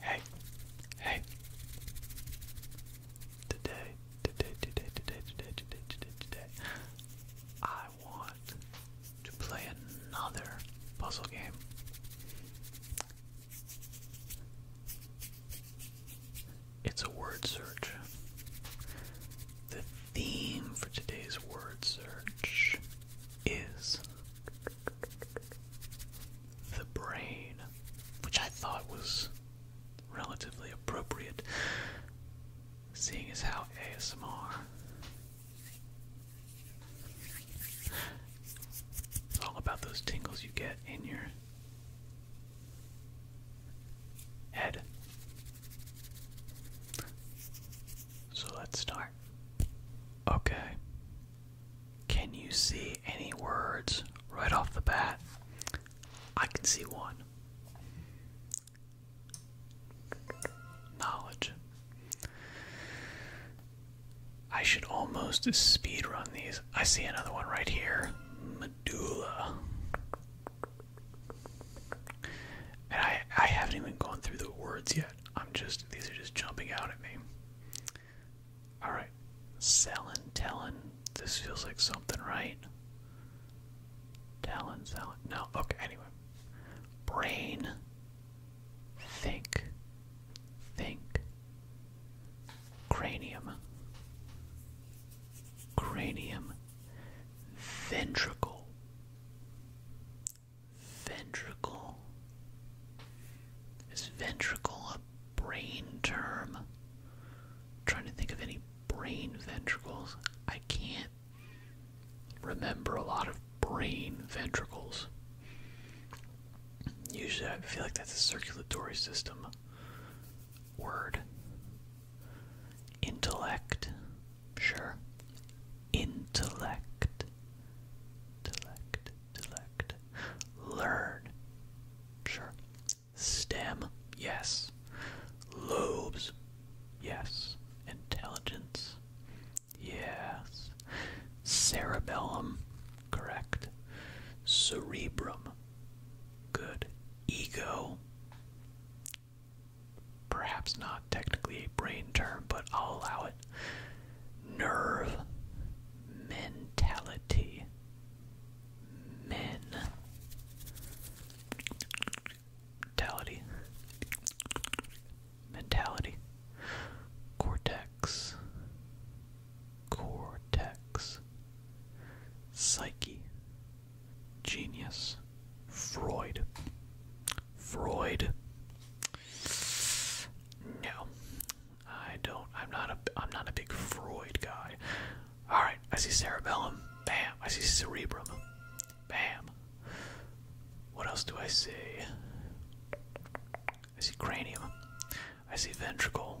Hey, hey. Today, today, today, today, today, today, today, today, I want to play another puzzle game. It's a word search. The theme for today's word search is the brain, which I thought was relatively appropriate, seeing as how ASMR. It's all about those tingles you get in your head. So let's start. Okay. Can you see any words right off the bat? I can see one. Knowledge. I should almost speed run these. I see another one right here. Medulla. And I, I haven't even gone through the words yet. I'm just these are just jumping out at me. Alright. Selling, telling. This feels like something, right? Talon, selling. No, okay, anyway. Brain. Think. Think. Cranium. Cranium. Ventricle. Ventricle. Is ventricle a brain term? trying to think of any brain ventricles. I can't remember a lot of brain ventricles. Usually I feel like that's a circulatory system word. Intellect. Sure. Intellect. Intellect. Intellect. Learn. Sure. Stem. Yes. Lobes. Yes. Intelligence. Yes. Cerebellum. Correct. Cerebrum. Good. Ego perhaps not technically a brain term, but I'll allow it. Nerve mentality. Men. Mentality. Mentality. Cortex. Cortex. Psyche genius Freud. Freud. No. I don't I'm not a I'm not a big Freud guy. Alright, I see cerebellum. Bam. I see cerebrum. Bam. What else do I see? I see cranium. I see ventricle.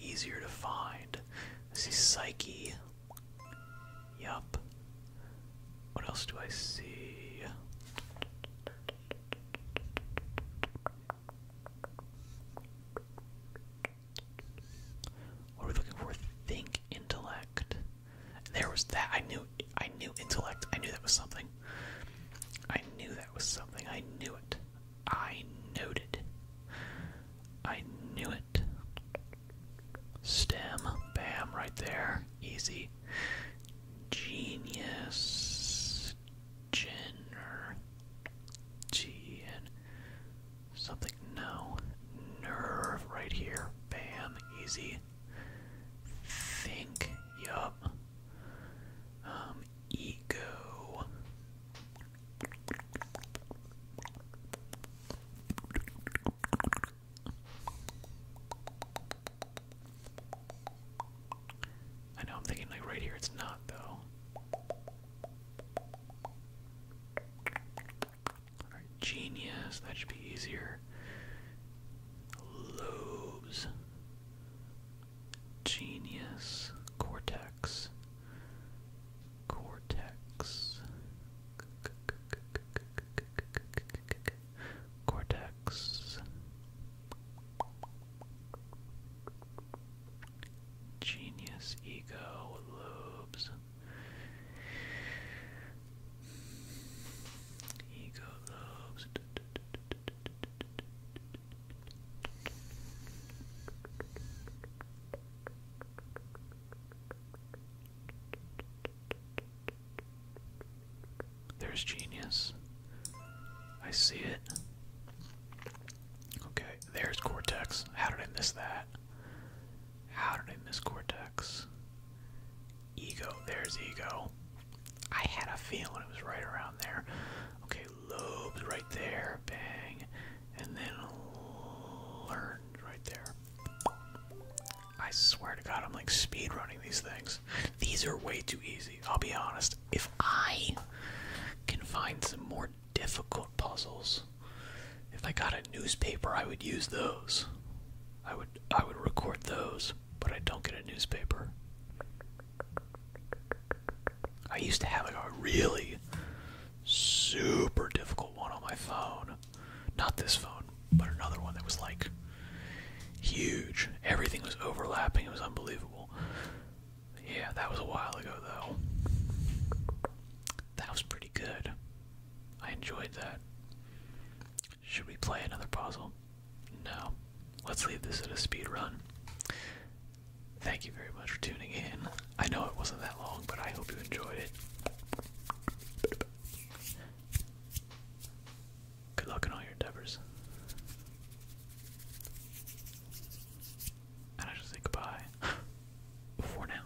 easier to find. I see Psyche. Yup. What else do I see? we looking for? Think intellect. There was that. I knew. I knew intellect. I knew that was something. I knew that was something. I knew it. I knowed I knew it. Stem, bam, right there. Easy. Genius. Jenner. G and something. No. Nerve right here. Bam. Easy. Think. Yup. Um, ego. I know I'm thinking like right here it's not though. genius, that should be easier. Lobes. Genius, cortex, cortex, cortex, genius, ego, lobes, ego, lobes. There's genius. I see it. Okay, there's Cortex. How did I miss that? How did I miss Cortex? Ego, there's ego. I had a feeling it was right around there. Okay, lobes right there, bang. And then learn right there. I swear to god, I'm like speed running these things. These are way too easy, I'll be honest. If I can find some more difficult puzzles, if I got a newspaper, I would use those. I would I would record those, but I don't get a newspaper. I used to have a really super difficult one on my phone. Not this phone, but another one that was like huge. Everything was overlapping, it was unbelievable. Yeah, that was a while ago though. That was pretty good. I enjoyed that. Should we play another puzzle? No. Let's leave this at a speed run. Thank you very much for tuning in. I know it wasn't that long, but I hope you enjoyed it. Good luck in all your endeavors. And I just say goodbye for now.